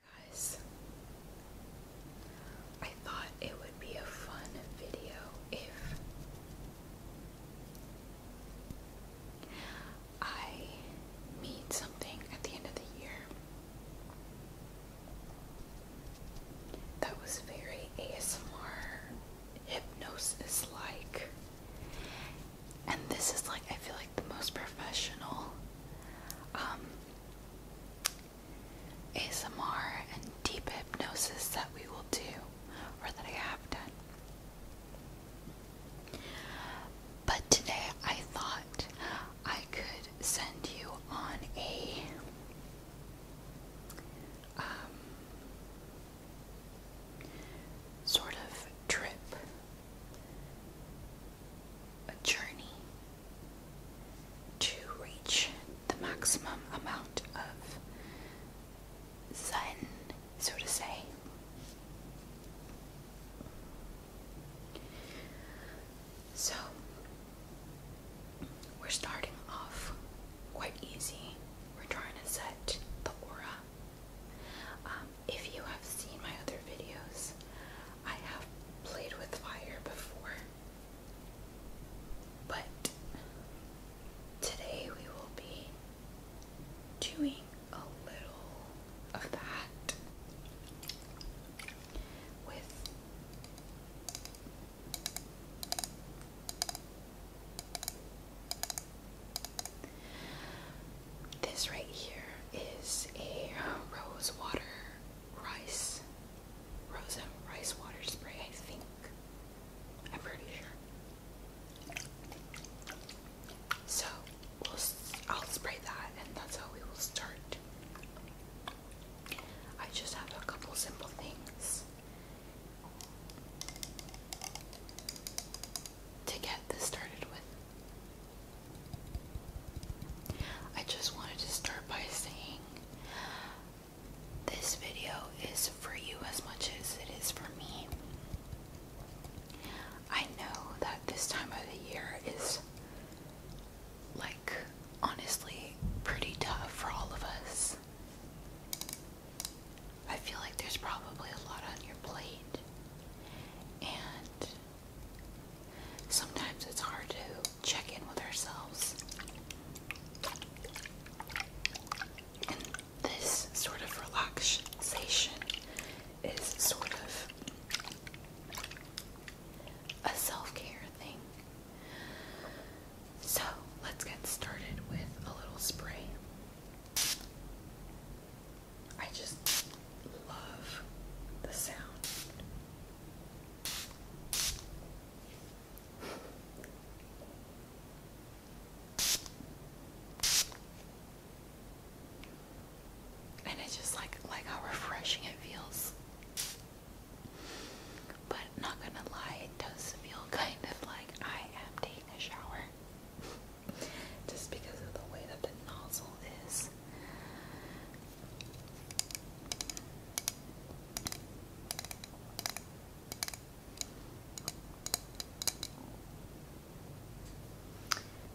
Hey guys, I thought it would be a fun video if I made something at the end of the year that was very ASMR hypnosis like. And this is like, I feel like the most professional um, ASMR and deep hypnosis that we will do, or that I have done. But today I thought I could send you on a um, sort of trip a journey to reach the maximum amount of sun, so to say. So, we're starting off quite easy. We're trying to set the aura. Um, if you have seen my other videos, I have played with fire before, but today we will be doing a little of that with this right here is a rose water rice, Rosa rice water spray, I think. I'm pretty sure. So I'll spray that, and that's how we will start. I just have a couple simple things to get this started with. I just wanted to start by saying this video is for you as much as it is for me. I know that this time of the year is like honestly pretty tough for all of us. I feel like there's probably a lot on your plate, and Sometimes it's hard to check in with ourselves. And this sort of relaxation is sort of a self care thing. So let's get started with a little spray. I just love the sound and it's just like like how refreshing it feels. But not gonna lie, it does feel kind of like I am taking a shower. just because of the way that the nozzle is.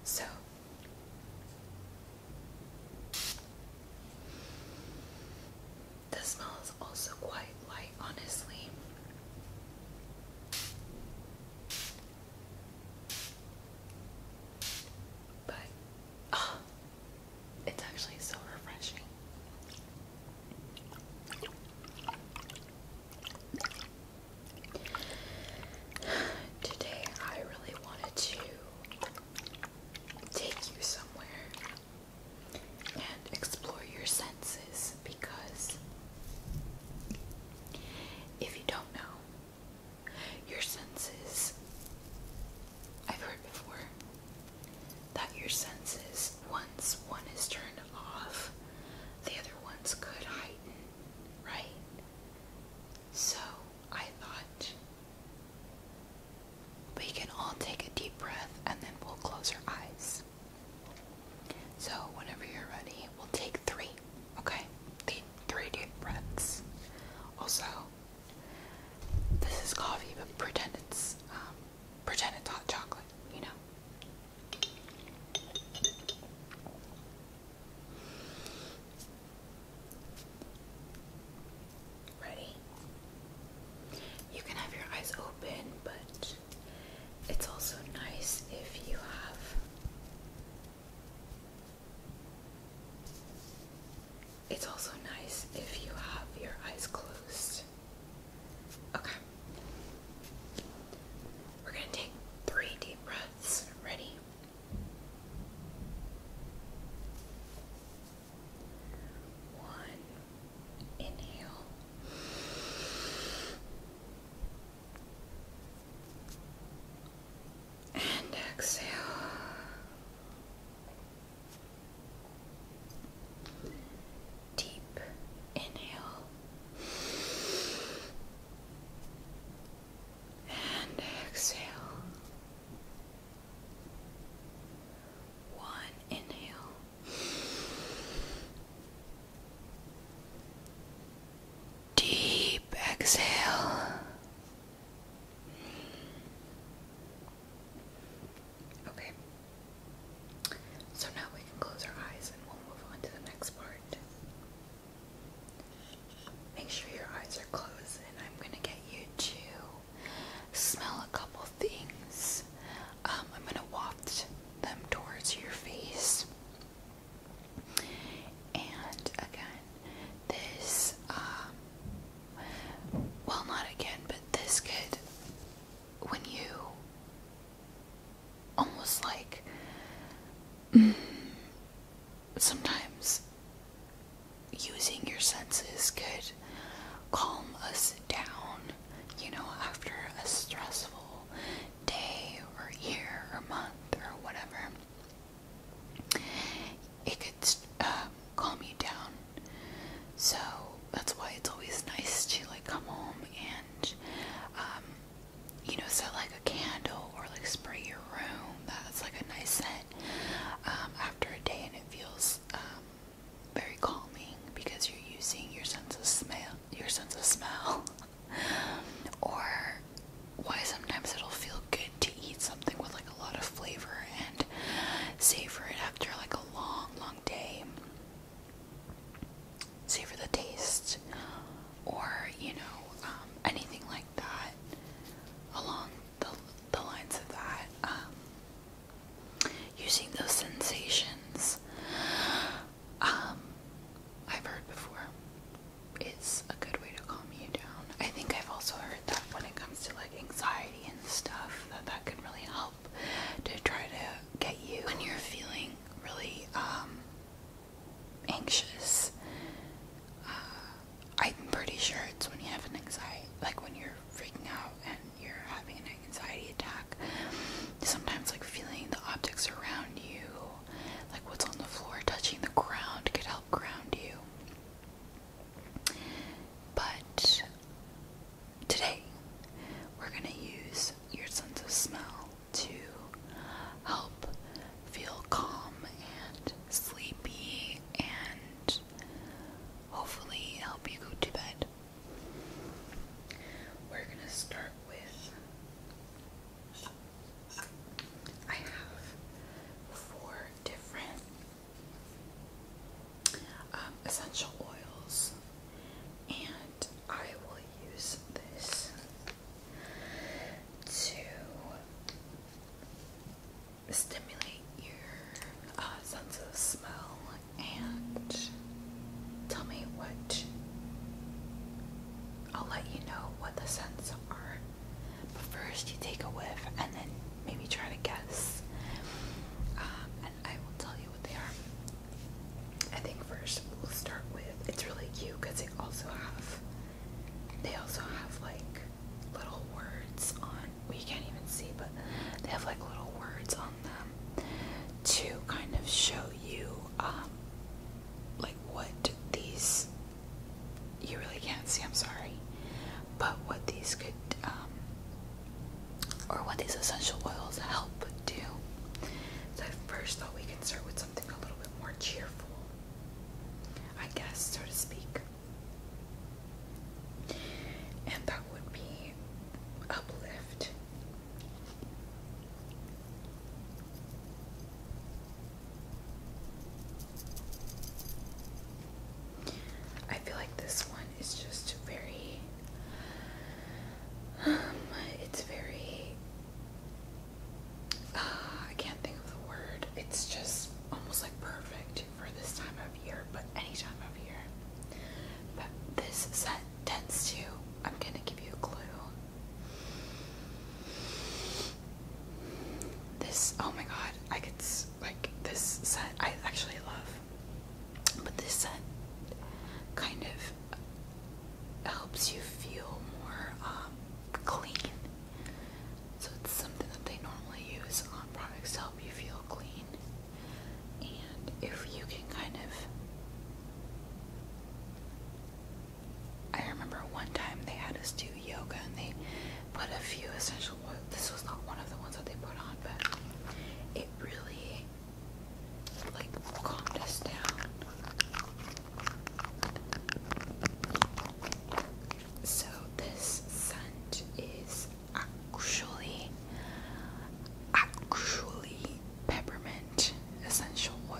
So the smell is also quite light, honestly. But oh, it's actually so refreshing. Today, I really wanted to take you somewhere and explore your senses because if you don't know, your senses, I've heard before that your senses, once one is turned off, the other ones could heighten, right? So I thought we can all take a deep breath and then we'll close our eyes. So, whenever you're ready, we'll take three, okay? Three deep breaths. Also, this is coffee, but pretend it's um, pretend it's hot chocolate, you know. Ready? You can have your eyes open, but it's also nice if you have it's also nice if you have your eyes closed. Okay. We're going to take three deep breaths. Ready? One. Inhale. And exhale. Deep inhale and exhale. One inhale. Deep exhale. Okay. So now we can close our eyes and we'll move on to the next part. Make sure your eyes are closed and I'm going to get you to smell a couple things. Um, I'm going to waft them towards your face. And again, this, um, well, not again, but this could, when you almost like mm, sometimes using your senses could calm us down, you know, after a stressful day or year or month or whatever it could um, calm you down. So that's why it's always nice to like come home and um, you know set like a candle or like spray your room. That's like a nice scent um, after a day, and it feels very calming because you're using your sense of smell, your sense of smell, or why sometimes it'll feel good to eat something with like a lot of flavor and savor it after like a long, long day. Savor the taste, or you know, um, anything like that along the, the lines of that. Um, using those sensations, um, I've heard before, is a good way to calm you down. I think I've also heard that when it comes to like anxiety and stuff that that can really help to try to get you when you're feeling really um, anxious. Uh, I'm pretty sure it's when you have an anxiety, like when you're freaking out and you're having an anxiety attack. Sometimes, like feeling the objects around you, like what's on the floor touching the ground, could help ground you. But today, we're going to use your sense of smell to help feel calm and sleepy and hopefully help you go to bed. We're going to start with. I have four different um, essential oils, and I will use this to stimulate your uh, sense of smell and tell me what. I'll let you know what the scents are but first, you take a whiff and then maybe try to guess. Um, and I will tell you what they are. I think first we'll start with it's really cute because they also have they also have like little words on. We can't even see, but they have like little words on them to kind of show you um, like what these you really can't see, I'm sorry. But what these could, um, or what these essential oils help do. So I first thought we could start with something a little bit more cheerful, I guess, so to speak. And that would be uplift. I feel like this one is just very um, it's very ah, I can't think of the word. It's just almost like perfect for this time of year, but any time of year. But this set tends to I'm gonna give you a clue. This oh my god, I could like this scent I actually love, but this scent kind of helps you feel more um, clean. So it's something that they normally use on products to help you feel clean, and if you can kind of. I remember one time they had us do yoga and they put a few essential this was not one of the ones that they put on, but it really like calmed us down. So this scent is actually actually peppermint essential oil.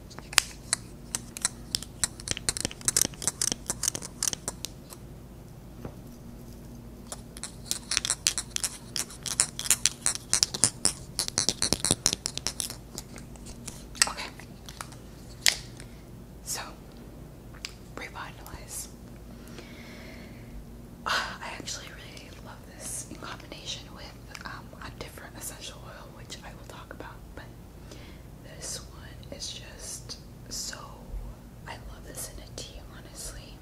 Okay. So, revitalize. Ah, I actually really love this in combination with um, a different essential oil which I will talk about, but this one is just so. I love this in a tea, honestly.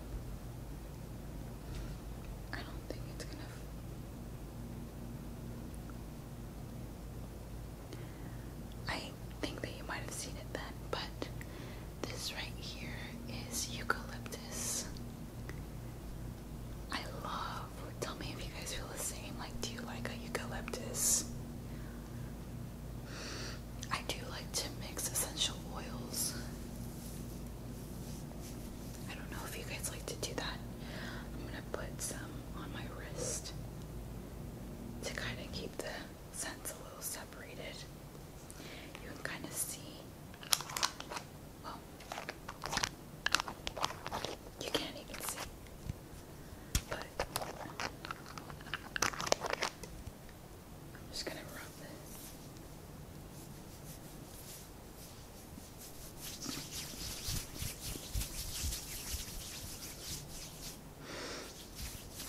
I don't think it's gonna. I think that you might have seen it then, but this right here is eucalyptus. I love. Tell me if you guys feel the same. Like, do you like a eucalyptus? I do like to mix essential oils. I don't know if you guys like to do that. I'm gonna put some on my wrist to kind of keep the scents a little separated. You can kind of see. You can't even see. But I'm just gonna rub this.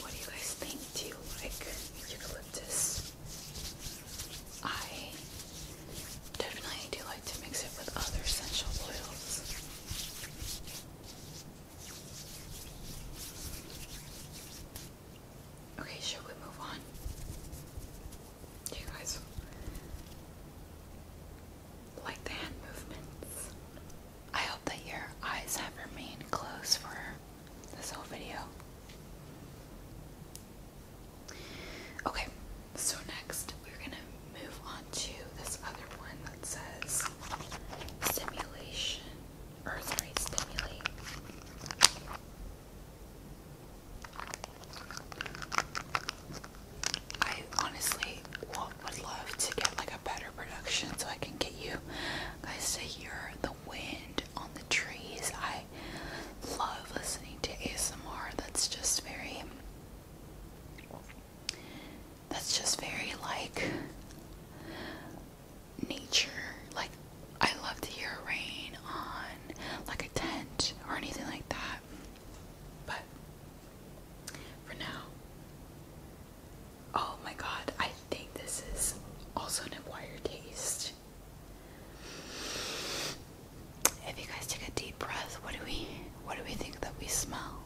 What do you guys think? Do you like eucalyptus? I Definitely do like to mix it with other essential oils. Okay, should we move on? you guys like the hand movements? I hope that your eyes have remained closed for this whole video. Okay, so next we're gonna move on to this other one that says stimulation, or sorry, stimulate. I honestly would love to get like a better production so I can get you guys you're the wind on the trees. I love listening to ASMR. That's just very that's just very like nature. Like, I love to hear rain on like a tent or anything like that. But for now, oh my god, I think this is also an acquired taste if you guys take a deep breath, what do we what do we think that we smell?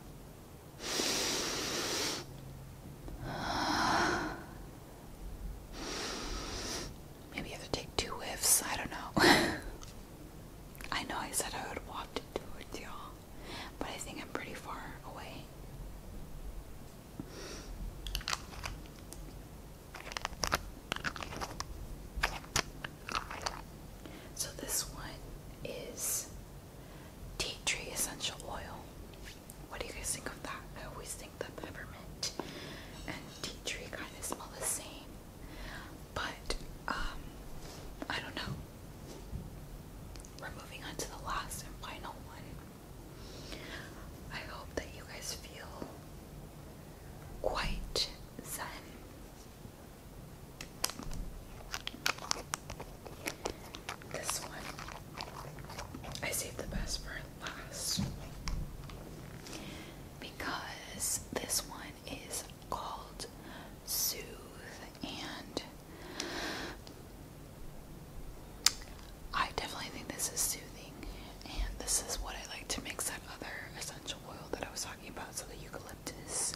Maybe you have to take two whiffs, I don't know. I know I said I would walk towards do y'all, but I think I'm pretty far away. So this one is tea tree essential oil. What do you guys think of that? I always think that peppermint and tea tree kind of smell the same, but um, I don't know. We're moving on to the last and final one. I hope that you guys feel quite zen this one, I saved the best for last because this one is called Soothe and. I definitely think this is soothing, and this is what I like to mix that other essential oil that I was talking about. So, the eucalyptus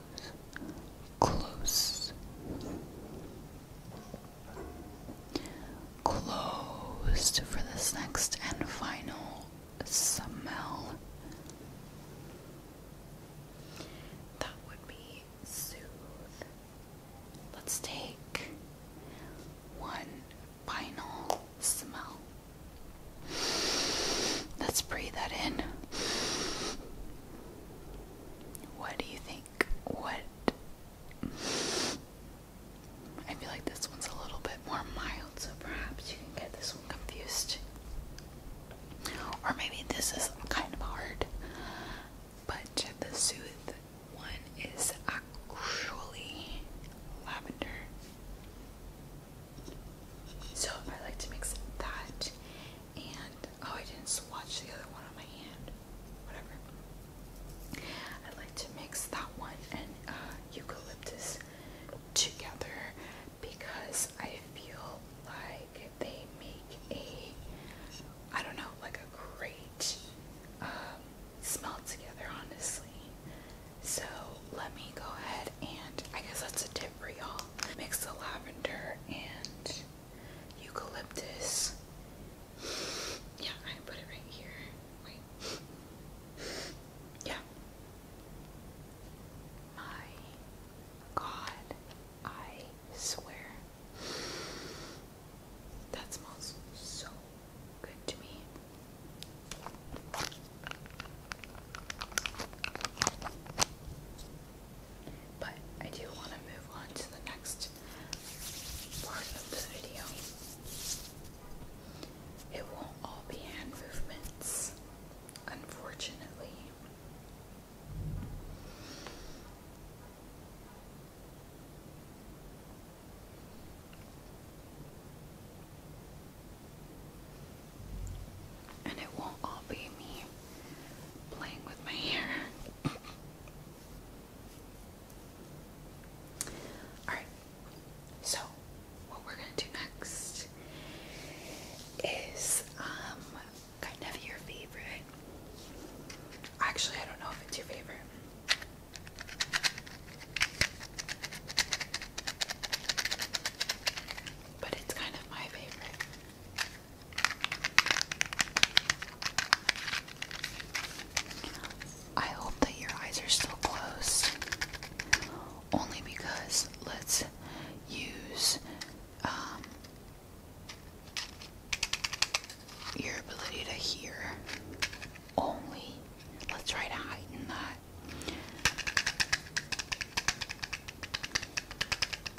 close, closed for this next and final smell. That would be soothe. Let's take one final smell. Let's breathe that in. What do you think? What? I feel like this one's a little bit more mild, so perhaps you can get this one confused. Or maybe this is kind of hard, but the Sooth one is actually lavender. So I like to mix that and Oh, I didn't swatch the other one on my hand. Whatever. I like to mix that one and uh, eucalyptus together because I feel like they make a, I don't know, like a great um, smell together, honestly. So let me go ahead and I guess that's a tip for y'all. Mix the lavender and eucalyptus. Yeah, I put it right here. Yeah. My God, I swear. That smells so good to me. But I do want to move on to the next part of the video. It won't all be hand movements, unfortunately. And it won't all be me playing with my hair. Alright, so what we're gonna do next is um, kind of your favorite. Actually, I don't know if it's your favorite. But it's kind of my favorite. I hope that your eyes are still closed. Only because let's use um, your ability to hear only. Let's try to heighten that.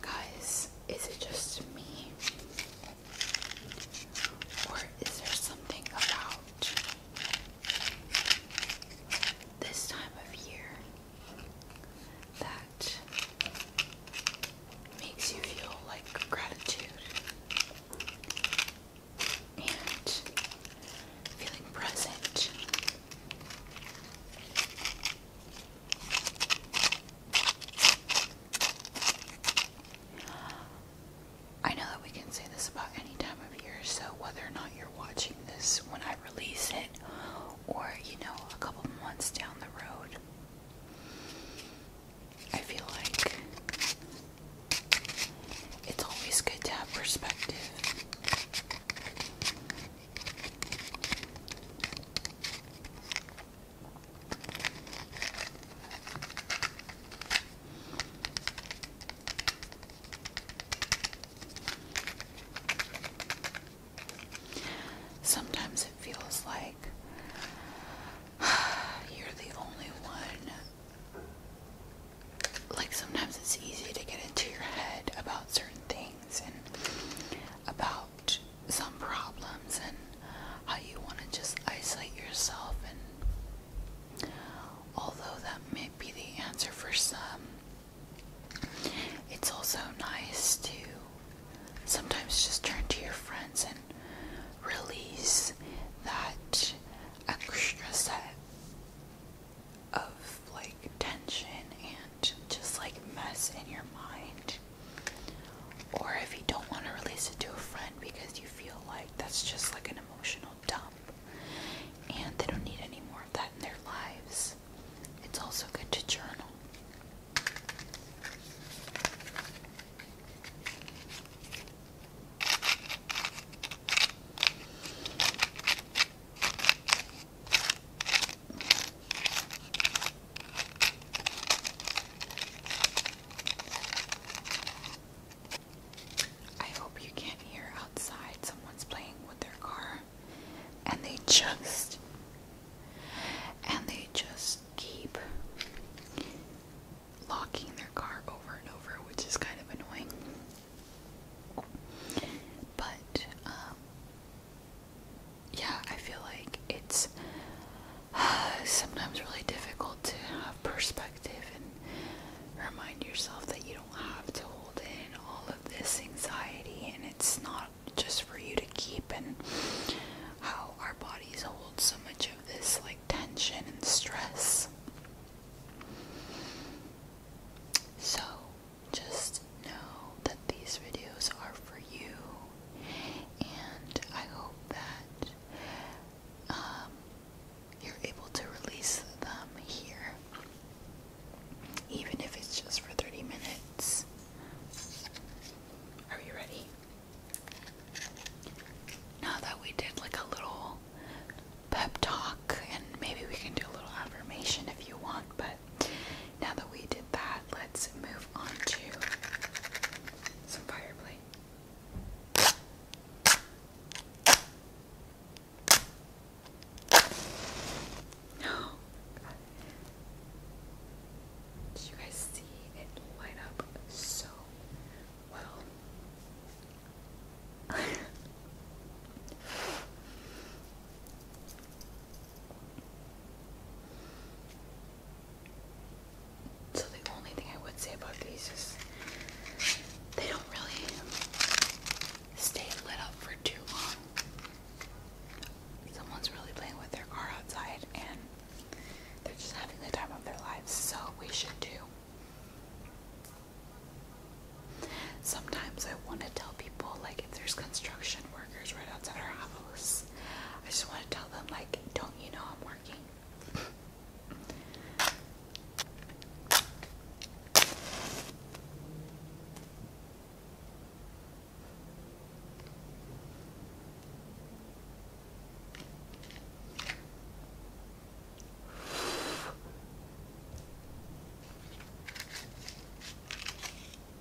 Guys, is it just me? Or is there something about this time of year that makes you feel like gratitude and feeling present? I know that we can say this about any time of year, so whether or not you're watching this when I release it, or you know, a couple months down the road, I feel like it's always good to have perspective. Sometimes it feels like you're the only one. Like, sometimes it's easy to get into your head about certain things about some problems and how you want to just isolate yourself and although that may be the answer for some it's also nice to sometimes just turn to your friends and release that extra set of like tension and just like mess in your mind. Or if you don't want to release it to a friend because you feel like that's just like an emotional dump and they don't need any more of that in their lives, it's also good to journal. I hope you can't hear outside someone's playing with their car and they just and they just keep locking their car over and over, which is kind of annoying. But um, yeah, I feel like it's sometimes really difficult to have perspective and remind yourself that you don't have to hold in all of this anxiety and it's not just for you to keep and how our bodies hold so much of this like tension and stress. So, just know that these videos are for you, and I hope that um, you're able to release them here, even if it's just for 30 minutes. Are you ready? Now that we did like a little pep talk, and maybe we can do a little affirmation if you want, but now that we did that, let's move on to some fire Did you guys see it light up so well? So the only thing I would say about these is they don't really stay lit up for too long. Someone's really playing with their car outside and they're just having the time of their lives, so we should do. Sometimes I want to tell people like if there's construction workers right outside our house, I just want to tell them like, don't you know I'm working?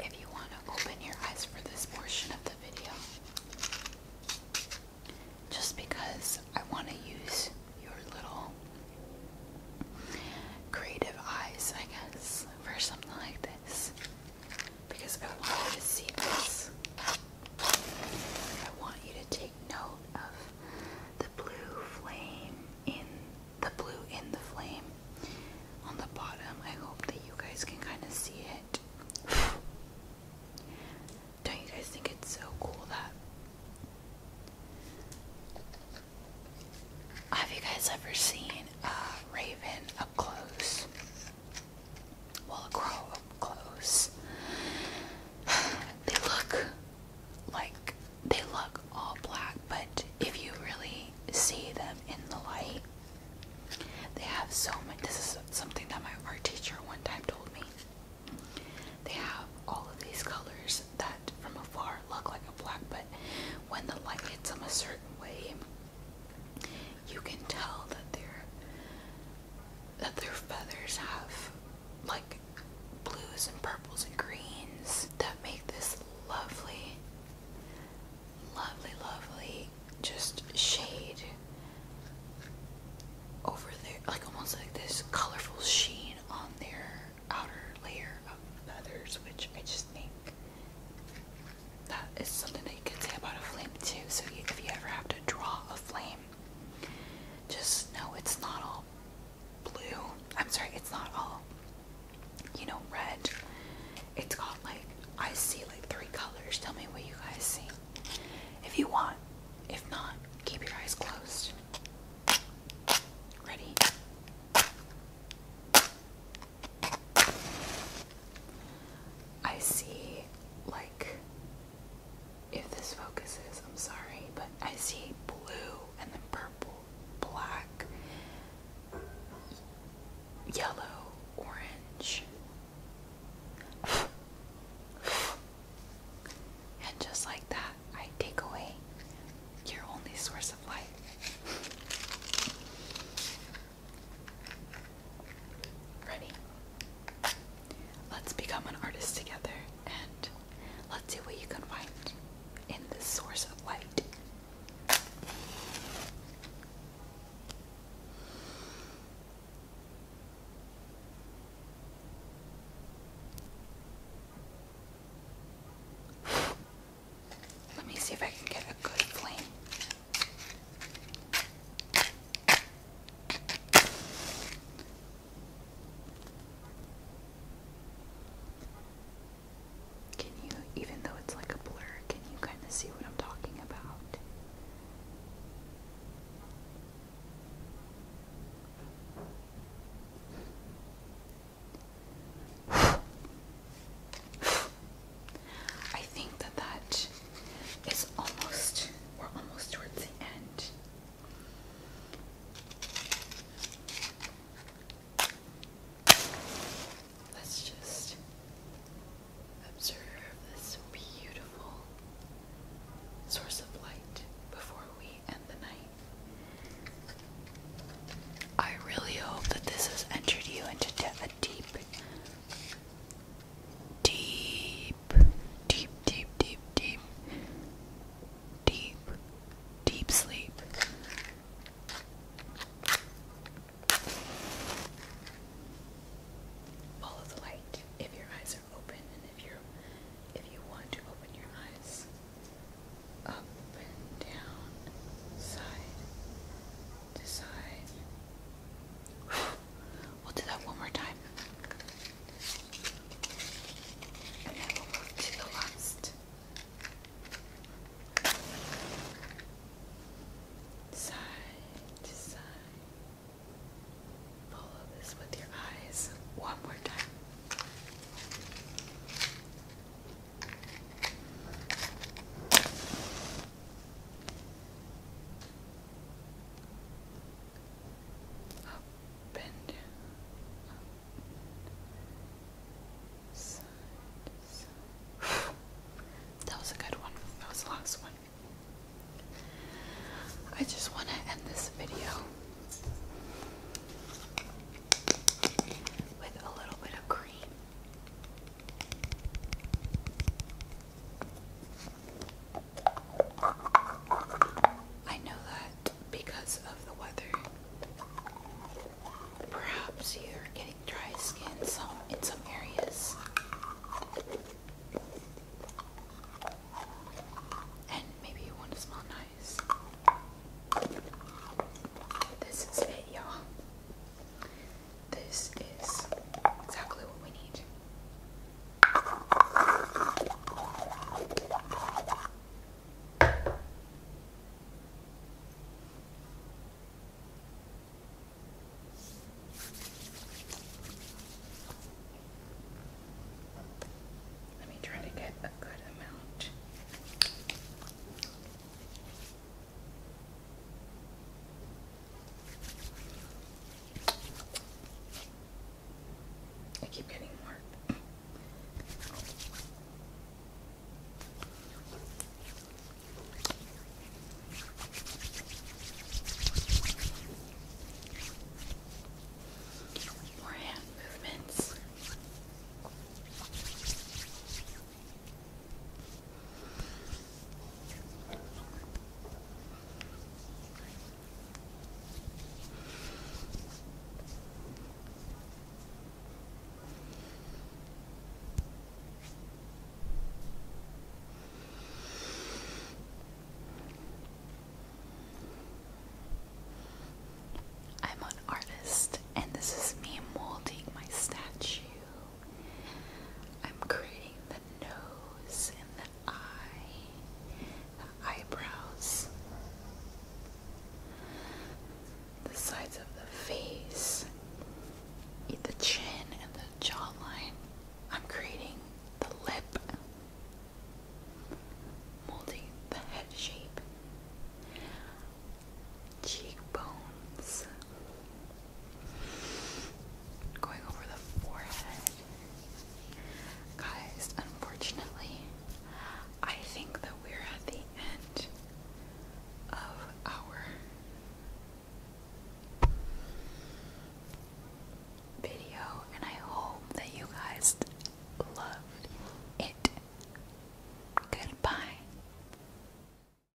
If you want to open your eyes for this portion of the video, just because I want to use your little creative eyes, I guess, for something like this because I want you to see this. I want you to take note of the blue flame in the blue in the flame on the bottom. I hope that you guys can kind of see it. Don't you guys think it's so cool that? Have you guys ever seen uh, a raven, up close. Well, grow up close. They look like they look all black, but if you really see them in the light, they have so much. This is something that my art teacher one time told me. They have all of these colors that from afar look like a black, but when the light hits them a certain way, you can tell that their that their feathers have like blues and purples and greens that make this lovely lovely lovely just shade over there like almost like this colorful sheen on their outer layer of feathers which I just think that is something that you can say about a flame too. So if you ever have to draw a flame, just know it's not all blue. I'm sorry, it's not all you know red. It's got like I see like three colors. Tell me what you guys see. If you want. If not, keep your eyes closed. Ready? I see, like, if this focuses, I'm sorry, but I see blue and then purple, black, yellow, orange, and just like that, I take away your only source of light. Ready? Let's become an artist together and let's see what you can find in this source of light. Let me see if I can get a good flame. Can you, even though it's like a blur, can you kind of see what I'm talking about? I think that that is almost, we're almost towards the end. Let's just observe this beautiful source of light before we end the night. I really hope that this has entered you into a deep, deep, deep, deep, deep, deep, deep, deep sleep. Follow the light if your eyes are open and if you if you want to open your eyes up down side Decide. We'll do that one more time. And then we'll move the last. Decide. Decide. Follow this with your eyes one more time. Up and that was a good one. That was the last one. I just want to end this video with a little bit of cream I know that because of the weather. Perhaps you're getting dry skin some in some areas. And maybe you want to smell nice. This is it, y'all. This is exactly what we need. Let me try to get a good amount. I keep getting more. More hand movements. I'm an artist, and this is me molding my statue. I'm creating the nose and the eye, the eyebrows, the sides of the face, the chin and the jawline. I'm creating the lip, molding the head shape, cheekbones. Going over the forehead. Guys, unfortunately, I think that we're at the end of our video, and I hope that you guys loved it. Goodbye.